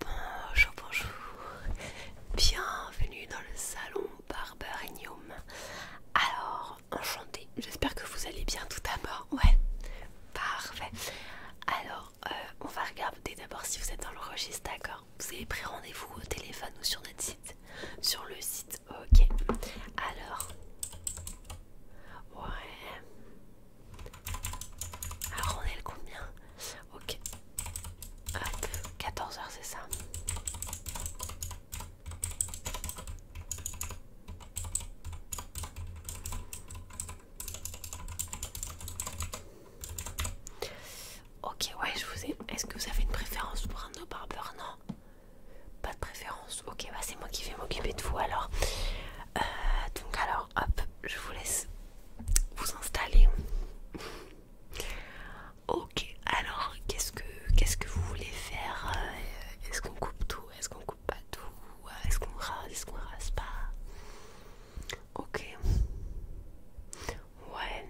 Bonjour, bonjour, bienvenue dans le salon Barberinium. Alors, enchanté j'espère que vous allez bien tout d'abord. Ouais, parfait. Alors, euh, on va regarder d'abord si vous êtes dans le registre, d'accord Vous avez pris rendez-vous au téléphone ou sur notre site Sur le site Ok. Alors. Ouais. Alors on est le combien Ok. 14h c'est ça. Ok, ouais, je vous ai. Est-ce que vous avez une préférence pour un no barber Non pas de préférence. Ok, bah c'est moi qui vais m'occuper de vous alors. Euh, donc alors, hop, je vous laisse vous installer. ok, alors qu'est-ce que qu'est-ce que vous voulez faire euh, Est-ce qu'on coupe tout Est-ce qu'on coupe pas tout Est-ce qu'on rase Est-ce qu'on rase pas Ok. Ouais.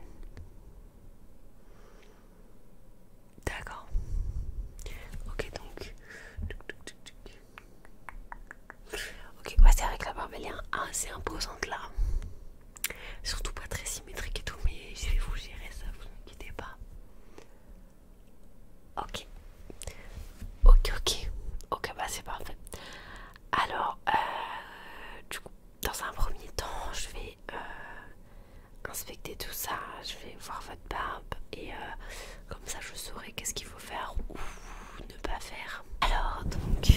D'accord. Ok, donc. Ok, ouais, c'est avec la barbe elle hein, est assez imposante là. Surtout pas très symétrique et tout, mais je vais vous gérer ça, vous inquiétez pas. Ok. Ok, ok. Ok, bah c'est parfait. Alors, euh, du coup, dans un premier temps, je vais euh, inspecter tout ça. Je vais voir votre barbe et euh, comme ça je saurai qu'est-ce qu'il faut faire ou ne pas faire. Alors donc,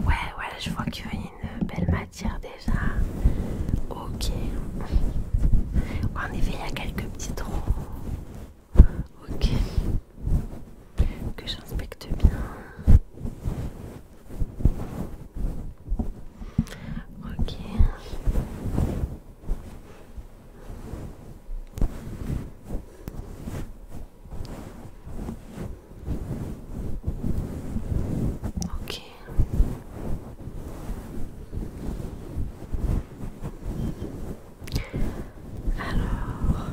ouais, ouais, je vois qu'il y a une belle matière déjà. Ok. en effet, il y a quelques petits trous. Ok. Que j'inspecte bien. Ok. Ok. Alors.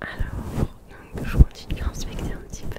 Alors, donc, je continue à inspecter un petit peu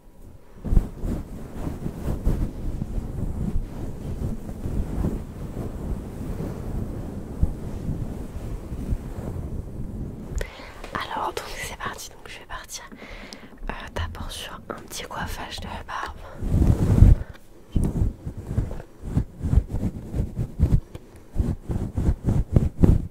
Alors donc c'est parti, donc je vais partir euh, d'abord sur un petit coiffage de barbe.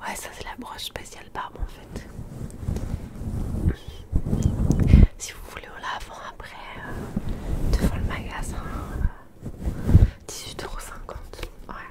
Ouais, ça c'est la broche spéciale barbe en fait. Si vous voulez, on l'a avant, après, euh, devant le magasin, euh, huit euros Ouais.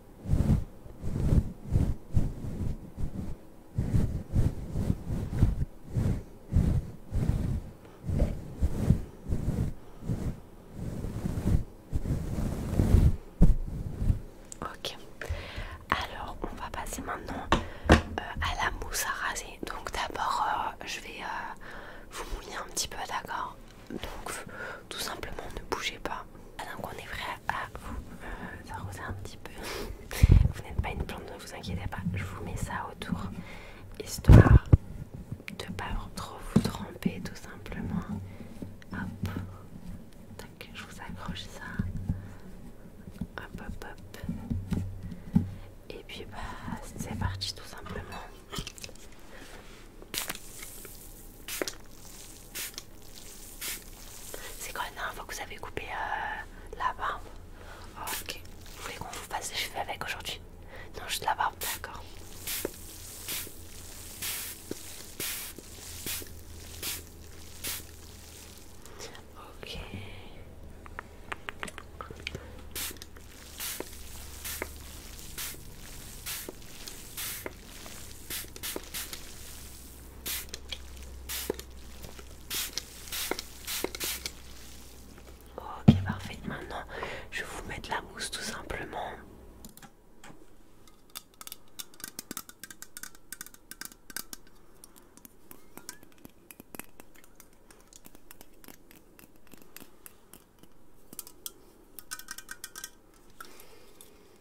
Ok, alors on va passer maintenant euh, à la mousse à raser. Donc d'abord, euh, je vais euh, vous mouiller un petit peu, d'accord Donc tout simplement, ne bougez pas. alors on est vrai vous euh, arrosez un petit peu. vous n'êtes pas une plante, ne vous inquiétez pas. Je vous mets ça autour, histoire de pas trop vous tromper tout simplement. Hop, je vous accroche ça. Hop, hop, hop. Et puis bah, c'est parti, tout simplement. C'est quand même un fois que vous avez coupé euh, la barbe ah, Ok. Vous voulez qu'on vous fasse les cheveux avec aujourd'hui Non, juste la barbe, d'accord. Ok. Ok parfait, maintenant je vais vous mettre la mousse tout simplement.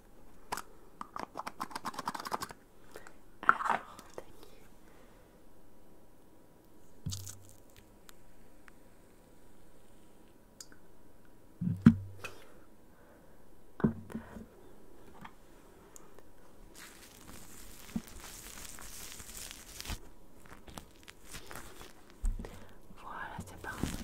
Voilà, c'est parti.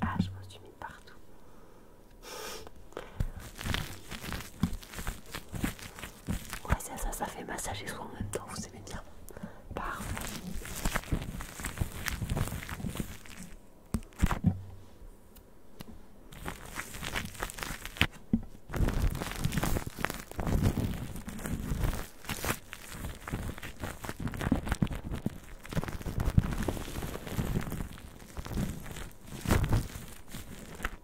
Ah, je m'en suis mis partout. Ouais, ça, ça, ça fait massage et en même temps, vous aimez bien. Parfait.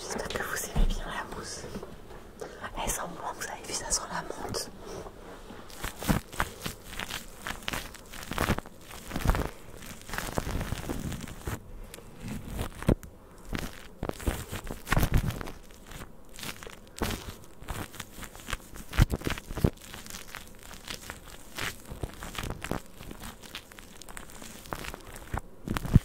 J'espère que vous aimez bien la mousse. Elle sent bon que ça avez vu, ça sent la menthe.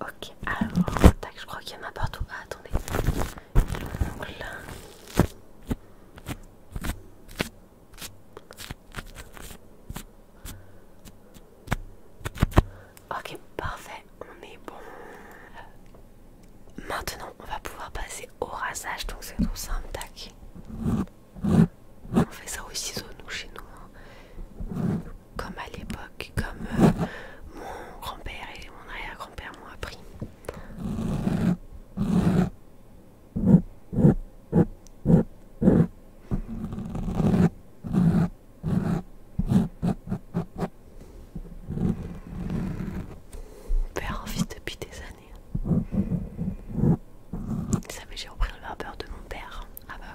Ok, alors, tac, je crois qu'il y en a partout. attendez l'ongle. Ok, parfait, on est bon. Maintenant, on va pouvoir passer au rasage, donc c'est tout simple, tac. On fait ça aussi nous, chez nous. Hein. Comme à l'époque, comme euh, mon grand-père et mon arrière-grand-père m'ont appris. Père en fils depuis des années. Vous savez, j'ai repris le verbeur de mon père. Ah bah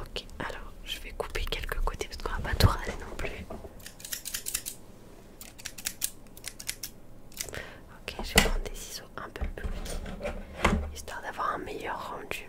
Ok, alors je vais couper quelques côtés parce qu'on va pas tout râler non plus. Ok, je vais prendre des ciseaux un peu plus petits histoire d'avoir un meilleur rendu.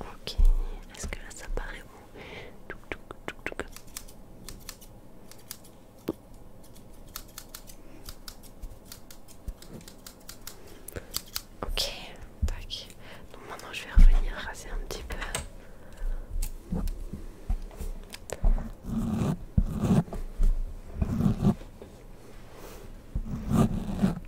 Ok, est-ce que là ça paraît bon Ok, tac. Donc maintenant je vais revenir raser un petit peu.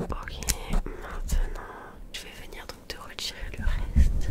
Ok, maintenant je vais venir donc te retirer le reste.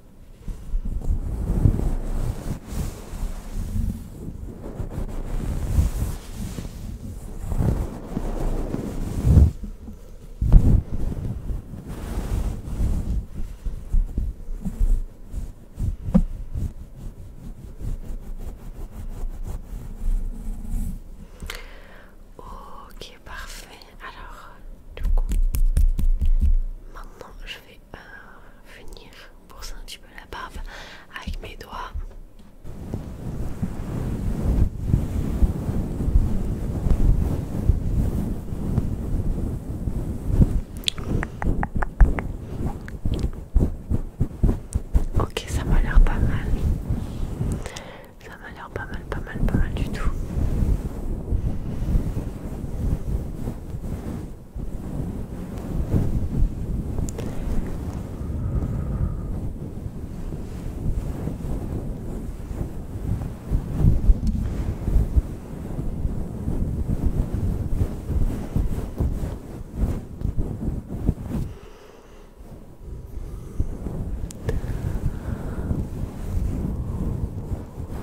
Ok, parfait alors du coup maintenant je vais euh, venir bourser un petit peu la barbe avec mes doigts Ok, ça m'a l'air pas mal. Ça m'a l'air pas mal pas mal, pas mal du tout.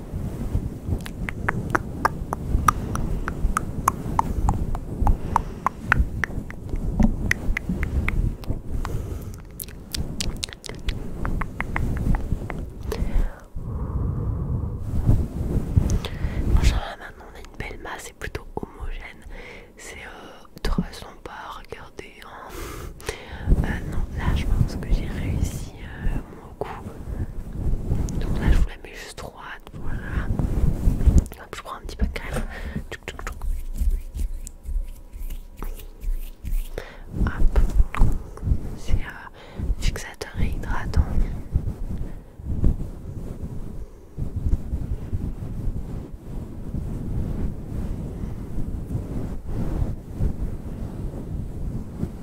là maintenant on a une belle masse, c'est plutôt homogène. C'est toute euh, trop sympa à regarder. Hein. en... Euh, non, là je pense que j'ai réussi euh, mon coup. Donc là je vous la mets juste voilà. je prends un petit peu de crème. c'est euh, fixateur hydratant.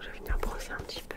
je vais venir brosser un petit peu.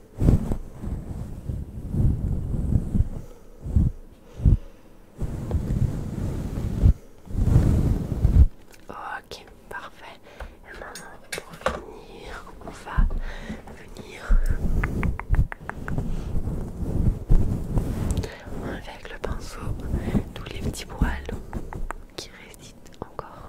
Ok, parfait. Et maintenant, pour finir, on va venir avec le pinceau tous les petits poils qui résident encore.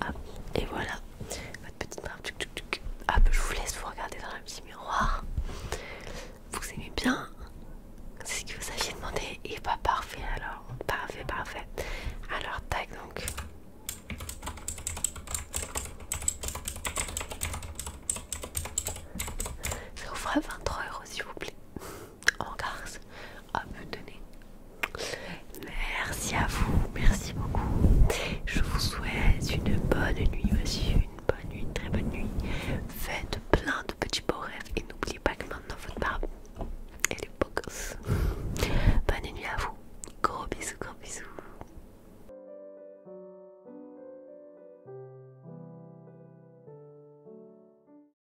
Ah, et voilà votre petite barbe. Ah, bah, je vous laisse vous regarder dans un petit miroir. Vous aimez bien C'est ce que vous aviez demandé. Et pas parfait alors. Parfait, parfait. Alors, tac donc. Ça vous fera 23 euros s'il vous plaît en garce à ah, me donner. Merci à vous, merci beaucoup. Je vous souhaite une bonne nuit, monsieur, une bonne nuit, une très bonne nuit. Faites plein de petits beaux rêves et n'oubliez pas que maintenant votre barbe, elle est beaux gosses Bonne nuit à vous. Gros bisous, gros bisous.